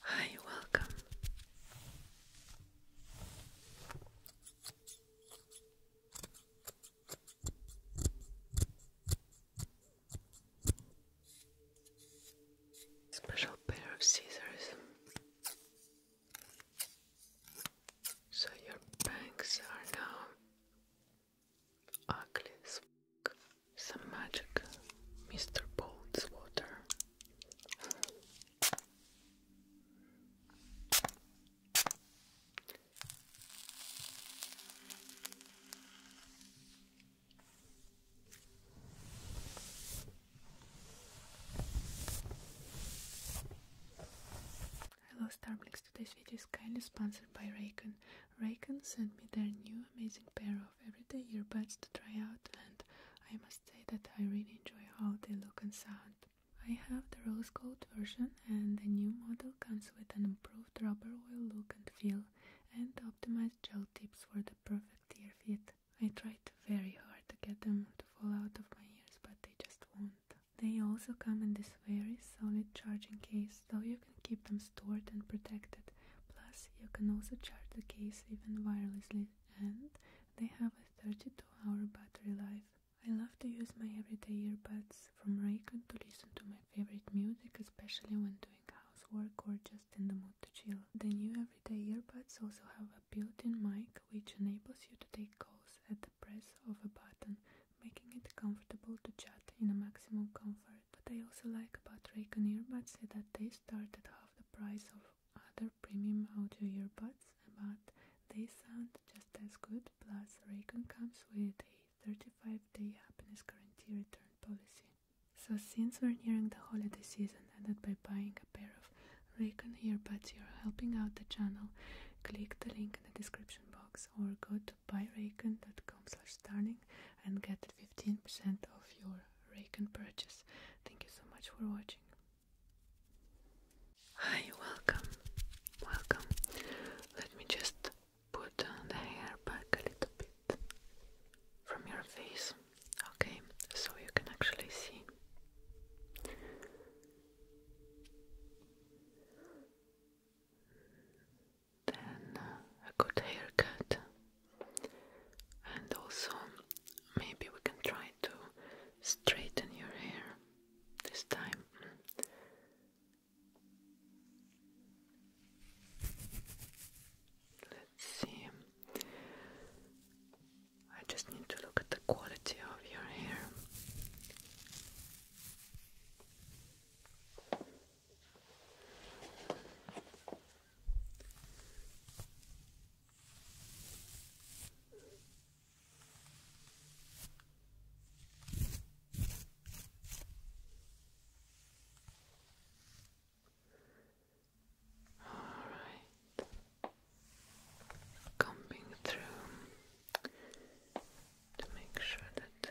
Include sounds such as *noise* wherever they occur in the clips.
Hi, welcome. Special pair of scissors so your bangs are now ugly some magic Mr. Bolt's water. Hello Starblix, today's video is kindly sponsored by Raycon. Raycon sent me their new amazing pair of. Every day, your buds to try out and I must say that I really enjoy how they look and sound. I have the rose gold version and the new model comes with an improved rubber oil look and feel and optimized gel tips for the perfect ear fit. I tried very hard to get them to fall out of my ears but they just won't. They also come in this very solid charging case so you can keep them stored and protected. Plus, you can also charge the case even wirelessly, and they have a 32 hour battery life. I love to use my everyday earbuds from Raycon to listen to my favorite music, especially when doing housework or just in the mood to chill. The new everyday earbuds also have a built-in mic which enables you to take calls at the press of a button, making it comfortable to chat in a maximum comfort. What I also like about Raycon earbuds is that they start at half the price of other premium audio earbuds, but they sound just as good. Plus, Raycon comes with a 35-day happiness guarantee return policy. So since we're nearing the holiday season and by buying a pair of Raycon earbuds you're helping out the channel, click the link in the description box or go to buyraycon.com slash starning and get 15% off your rake and purchase. Thank you so much for watching. Hi, welcome, welcome. Let me just put the hair back a little bit from your face, okay, so you can actually see. Then a good haircut and also maybe we can try to straighten your hair this time. Let's see. I just need to look at the quality of your hair. All right, combing through to make sure that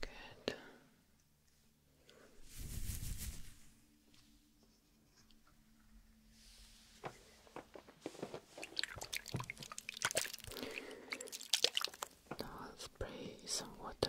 Good. Now I'll spray some water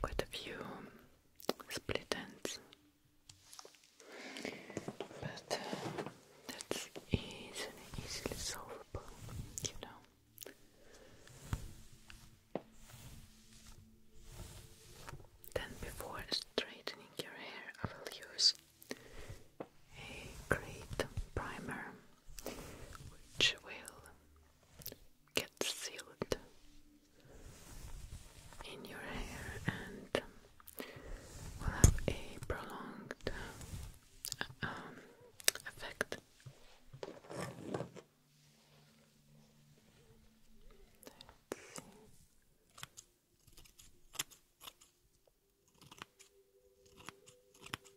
quite a few split ends, but uh, that's easily, easily solvable, you know. Then, before straightening your hair, I will use a great primer which will get sealed in your hair and um, will have a prolonged um, effect.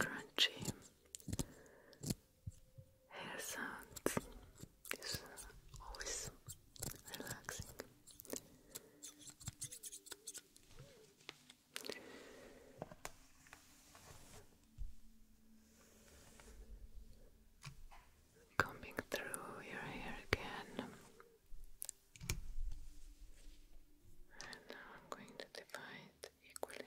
Crunchy Hair sounds is always relaxing. Combing through your hair again. And now I'm going to divide equally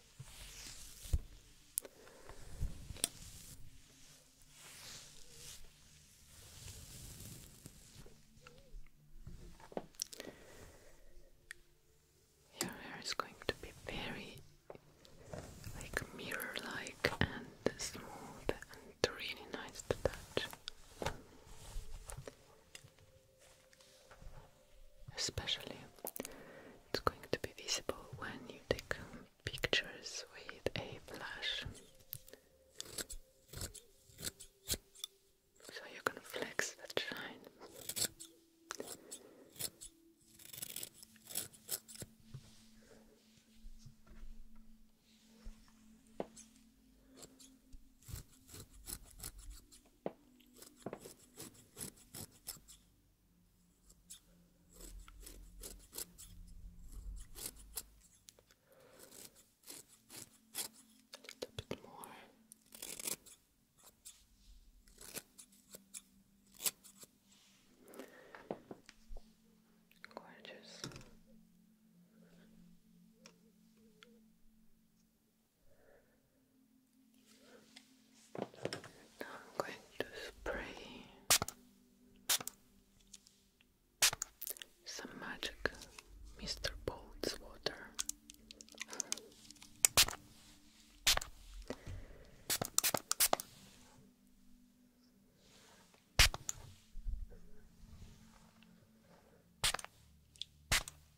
Your hair is going to be very like mirror like and smooth and really nice to touch especially it's going to be visible when you take um, pictures with a flash so you're gonna flex that shine a little bit more. Gorgeous. I'm going to spray some magic Mr. Bolt's water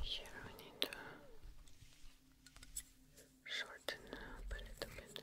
Here we need to shorten up a little bit.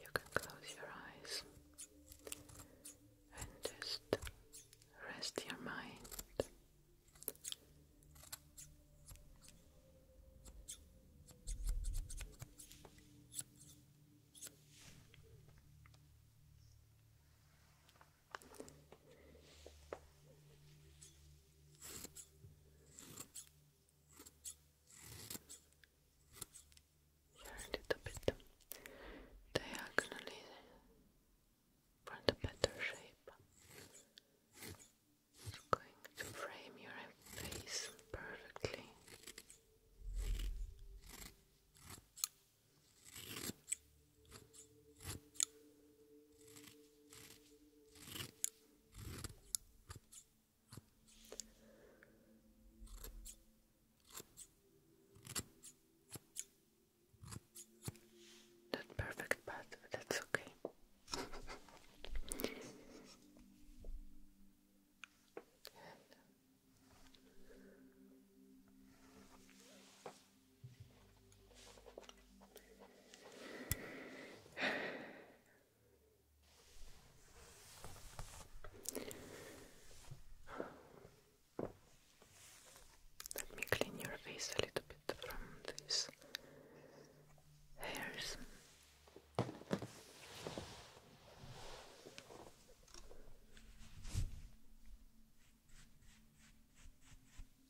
You can close your eyes and just rest your mind a little bit diagonally for the better shape. It's going to frame your face perfectly. Not perfect, but that's okay. Let me clean your face a little bit from these hairs.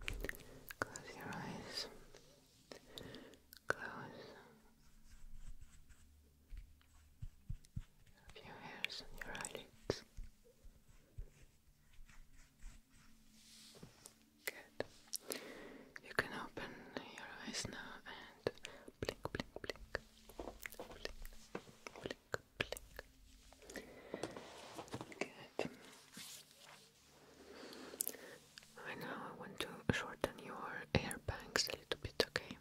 Close your eyes. Close. A hairs on your eyelids. Good. You can open your eyes now and blink, blink, blink now, I want to shorten your air a little bit, okay,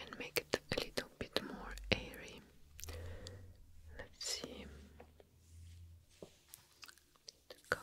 and make it a little bit more airy. Let's see. To comb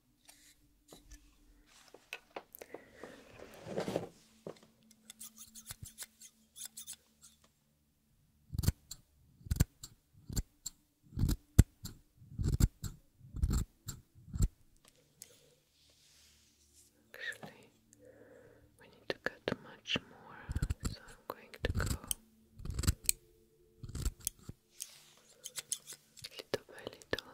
Actually, we need to cut much more, so I'm going to go little by little.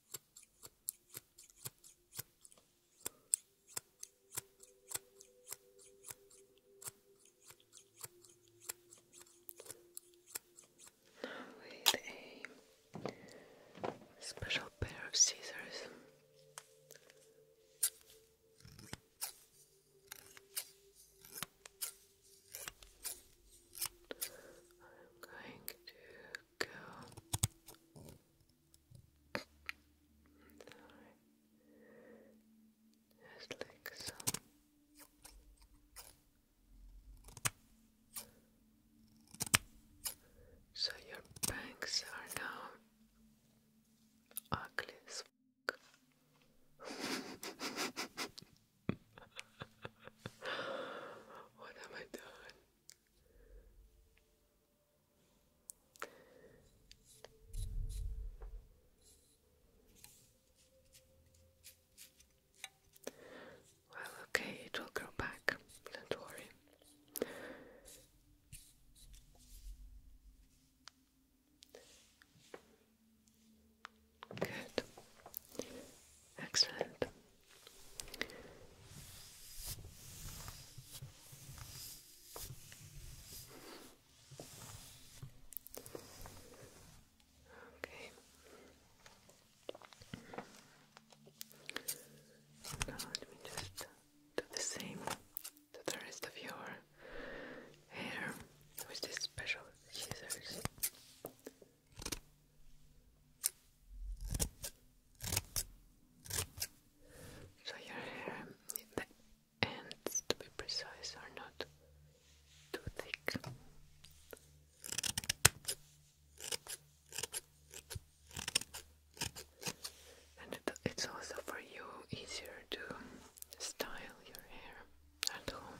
with a special pair of scissors, I'm going to go just like so. So your bangs are now ugly *laughs* what am I doing? Well, okay, it will grow back, don't worry. Good. Excellent. Okay. Now let me just do the same to the rest of your hair with these special scissors. So your hair, the ends, to be precise, are not too thick. And it's also for you easier to style your hair at home.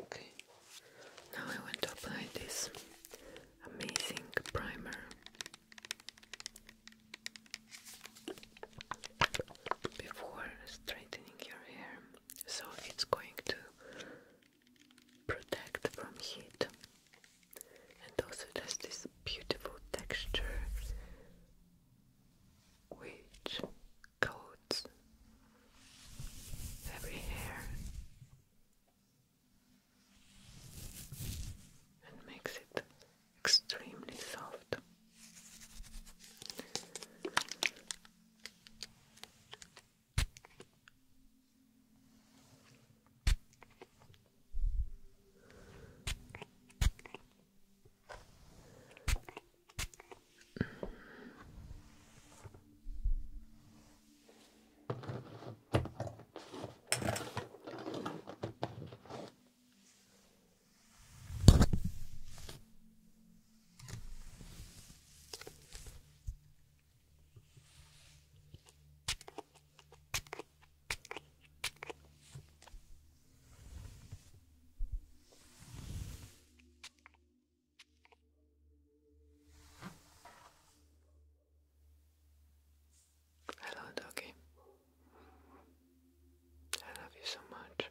Okay, now I want to apply this amazing primer before straightening your hair, so it's going to protect from heat and also it has this beautiful texture which coats every hair and makes it extremely soft. Hello, doggy. I love you so much.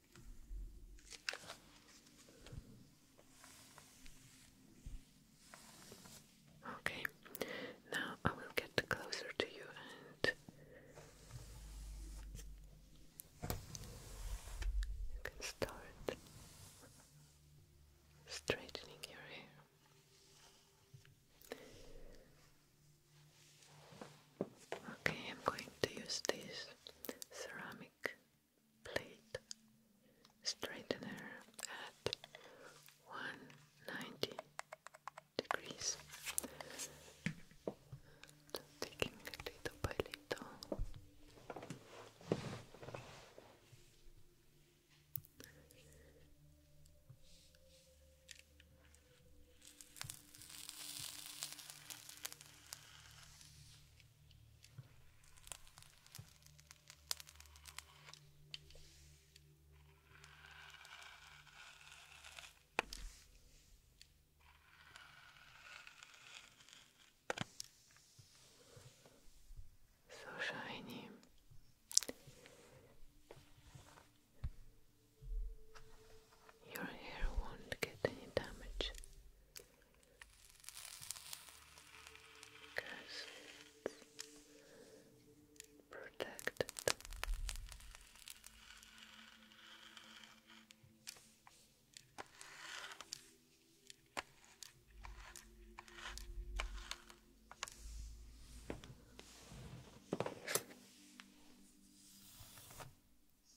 Okay, now I will get closer to you and start straightening your hair. Okay, I'm going to use this ceramic plate straightener at 190 degrees. So taking it little by little. So shiny. Your hair won't get any damage Cause it's protected. Gorgeous.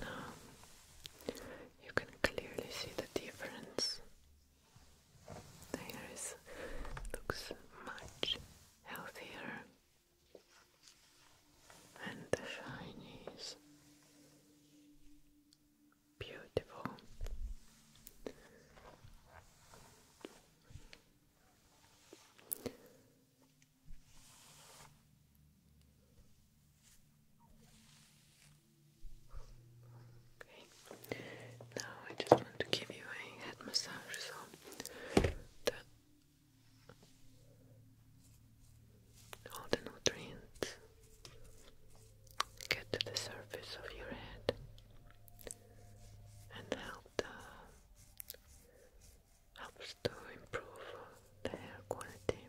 Now you can clearly see the difference the hair looks much healthier, and the shine is beautiful. Okay, now I just want to give you a head massage so that all the nutrients get to the surface of your head and help the helps to improve the hair quality.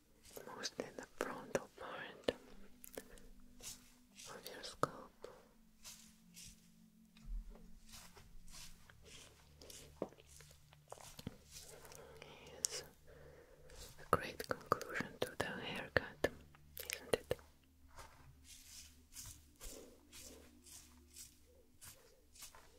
mostly the frontal part of your scalp. Yes, a great conclusion to the haircut, isn't it?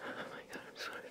Oh my god, I'm sorry.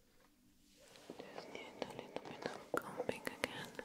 Just need a little bit of combing again.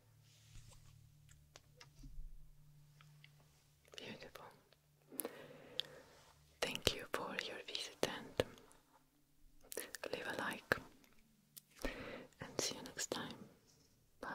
Beautiful. Thank you for your visit and leave a like. And see you next time. Bye.